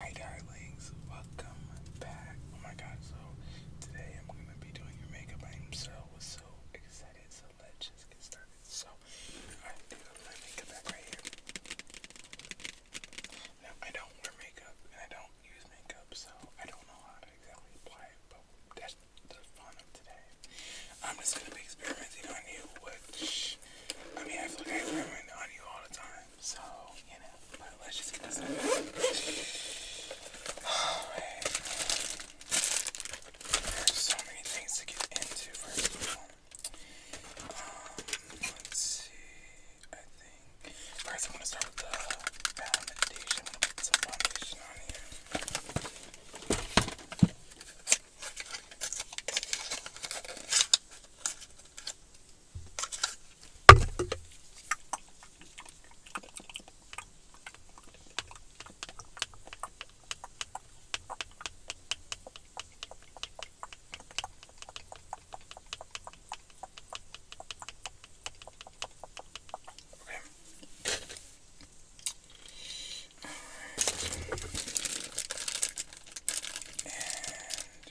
Hi darlings, welcome back. Oh my god, so today I'm gonna be doing your makeup. I'm so so excited, so let's just get started. So I do my makeup right here. Now I don't wear makeup and I don't use makeup, so I don't know how to exactly apply it, but that's the fun of today. I'm just gonna be experimenting on you, which I mean I feel like I experiment on you all the time. So, you know, but let's just get this out. Alright. There's so many things to get into, first of all. Um, let's see. I think. First, I'm going to start with the foundation. I'm going to put some foundation on here. Okay. All right. And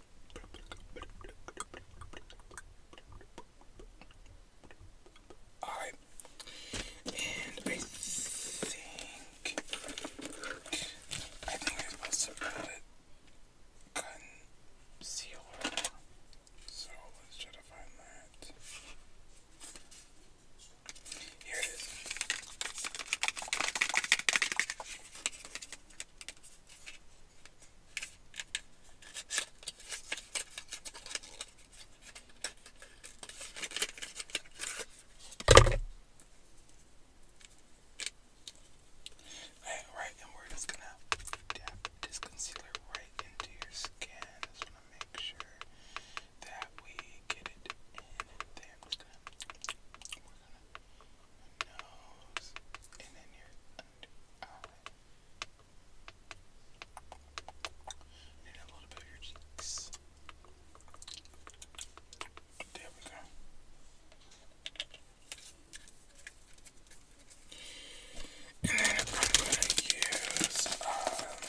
Alright. And I think I think I'm supposed to put concealer. So let's try to find that. Here it is. Alright, and we're just gonna dab this concealer right into your skin. just wanna make sure that we get it in there. we're gonna, nose, and then your and eye. Need a little bit of cheeks. There we go. And then I'm gonna use a little bit of powder.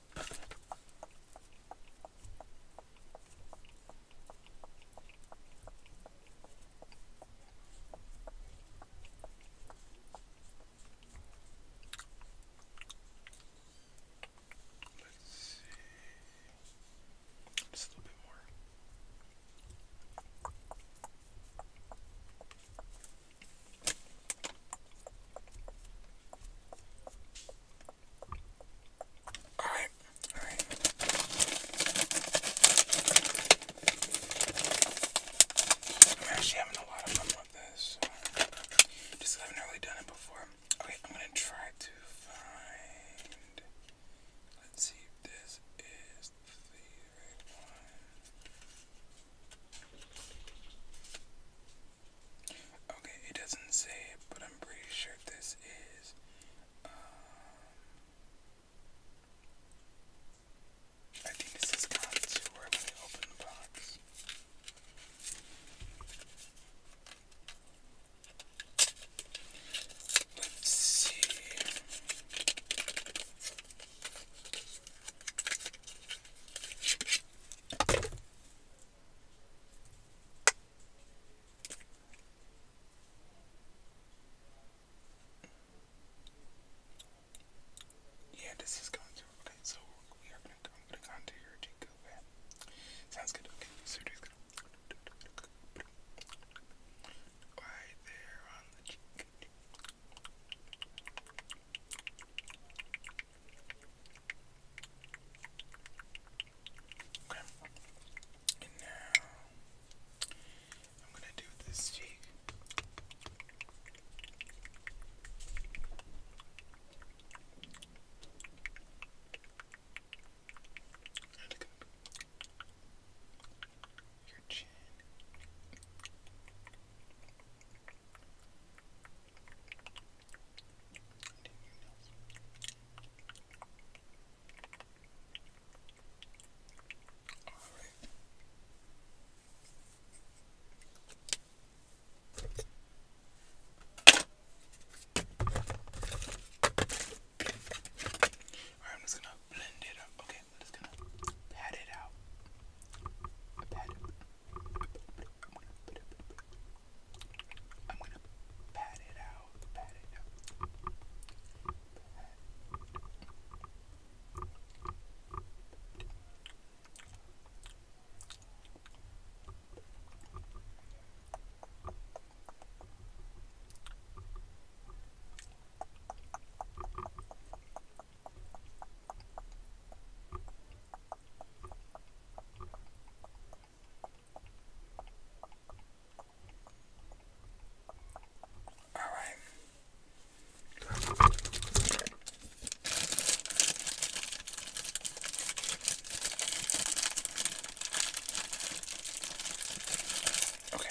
Let's see. Just a little bit more. All right, all right. I'm actually having a lot of fun with this. Just haven't really done it before. Okay, I'm gonna try to find. Let's see if this is the right one. Okay, it doesn't say it, but I'm pretty sure this is. Um, I think this is contour when I the box. Let's see. Yeah, this is going so we are gonna i to go your Jinko Sounds good, okay. So it is gonna right there on the cheek. Okay. And now I'm gonna do this cheek. Your chin. Alright, I'm just gonna blend it up. Okay, I'm just gonna pat it out. Pat it. I'm gonna pat it out, pat it out. Pat. All right. Okay,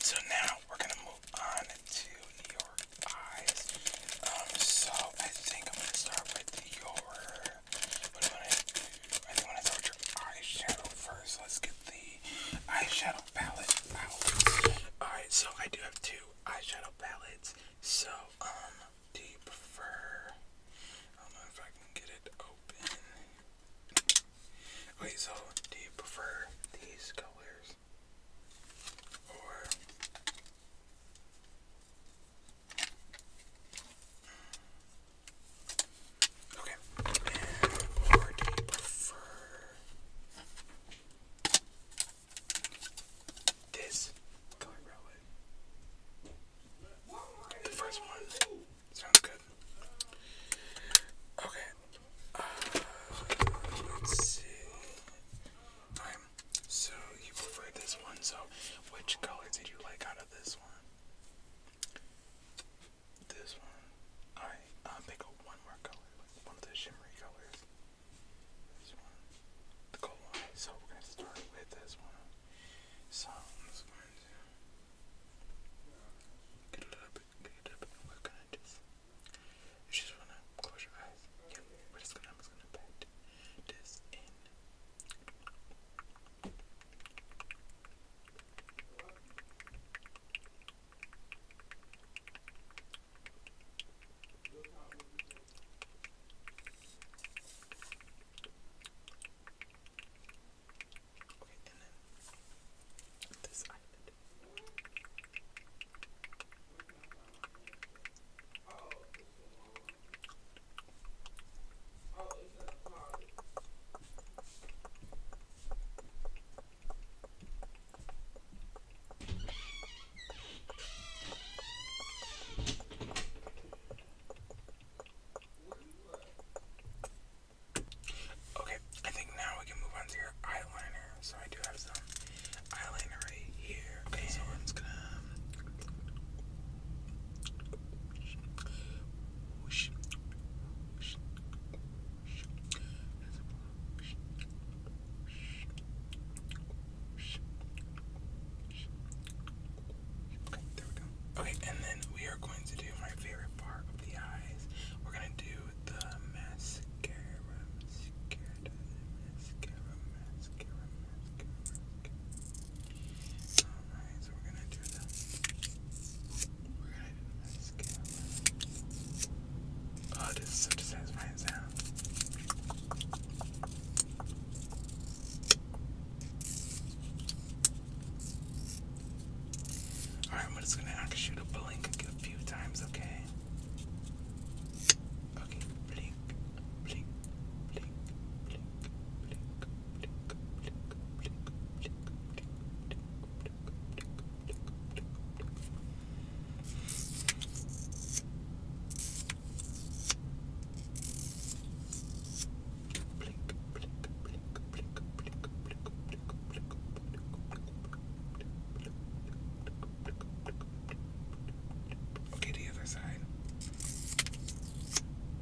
so now we're gonna move on to your eyes. Um, so I think I'm gonna start with your i first. Let's get the eyeshadow palette out. Alright, so I do have two eyeshadow palettes. So, um, do you prefer? I don't know if I can get it open. Wait, so do you prefer these colors? Or Okay. And or do you prefer this The first one sounds good. Okay. Uh, let's see so you prefer this one. So, which color did you like out of this one? This one. Alright, um, pick one more color, one of the shimmery colors. This one. The gold one. So, we're going to start with this one. So, I'm just going get it up, get it up, and we're just. You to close your eyes. Yeah, we're just going to, I'm just going to pat this in. Okay, and then this island. Oh. Okay, I think now we can move on to your eyeliner. So I do have some eyeliner right here. Okay, Okay, and then we are going to do my favorite part of the eyes. We're gonna do the mascara, mascara, mascara. Alright, so we're gonna do that. we're gonna do the mascara. Oh, this is such a satisfying Alright, I'm just gonna actually blink a few times, okay? Okay, blink, blink, blink, blink, Okay, the other side.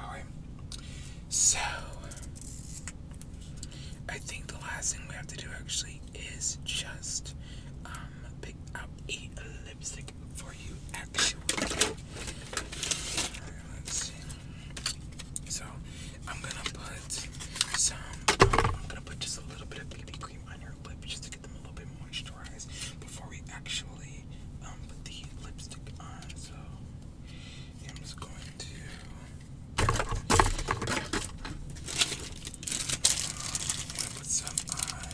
Alright. So I think the last thing we have to do actually is just um, pick up a lipstick for you actually. So I'm gonna put some I'm gonna put just a little bit of baby cream on your lips just to get them a little bit moisturized before we actually um, put the lipstick on. So I'm just going to. Um, I'm gonna put some on.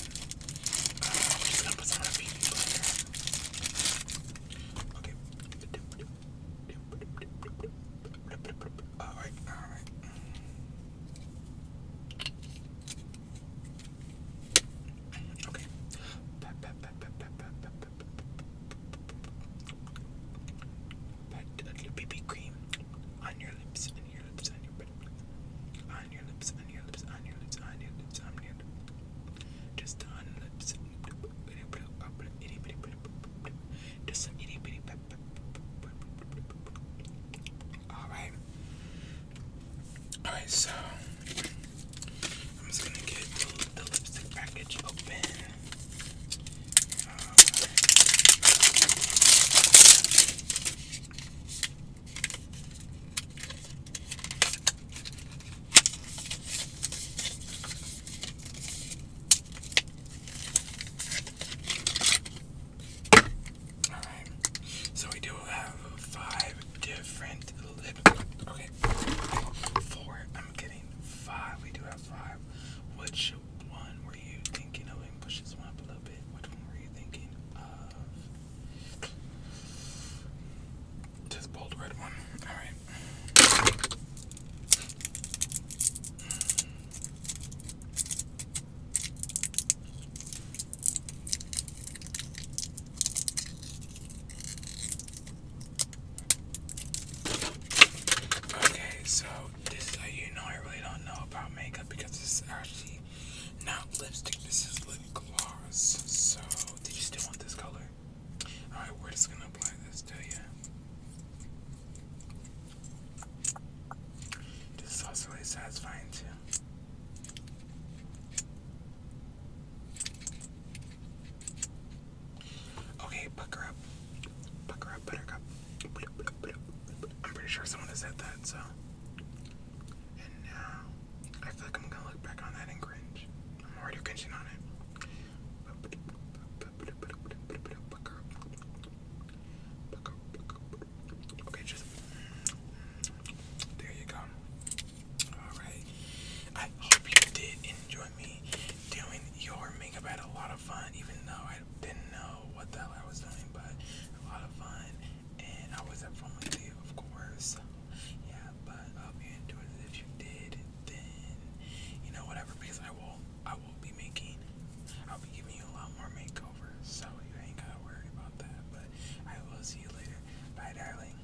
Uh, I'm just gonna put some on a beauty blender. Okay. Alright, alright. Okay. Pet, pet, pet, pet, pet, pet, pet, pet, pet, pet a little BB cream on your lips, on your lips, on your on your lips, on your lips, on your lips, on your lips, on your lips, just on lips. Just some itty bitty pep. All right. All right. So I'm just gonna get the, lipstick package open. Um, so we do have five different. Okay, four. I'm getting five. We do have five. Which one were you thinking of? And one up a little bit. Which one were you thinking of? This bold red one. All right. Okay, so this is you know I really don't know about makeup because this is actually not lipstick, this is lip gloss. So, did you still want this color? Alright, we're just gonna apply this to you. This is also really satisfying too. Okay, pucker up. Pucker up, buttercup. I'm pretty sure someone has said that, so. And now, I feel like I'm gonna look back on that and cringe. I'm already cringing on it. Okay, just. There you go. Alright. I hope you did enjoy me doing your makeup. had a lot of fun, even though I didn't know what the hell I was doing, but a lot of fun. And I was up front with you, of course. Yeah, but I hope you enjoyed it. If you did, then you know whatever, because I will I will be making I'll be giving you a lot more makeovers, so you ain't gotta worry about that. But I will see you later. Bye darling.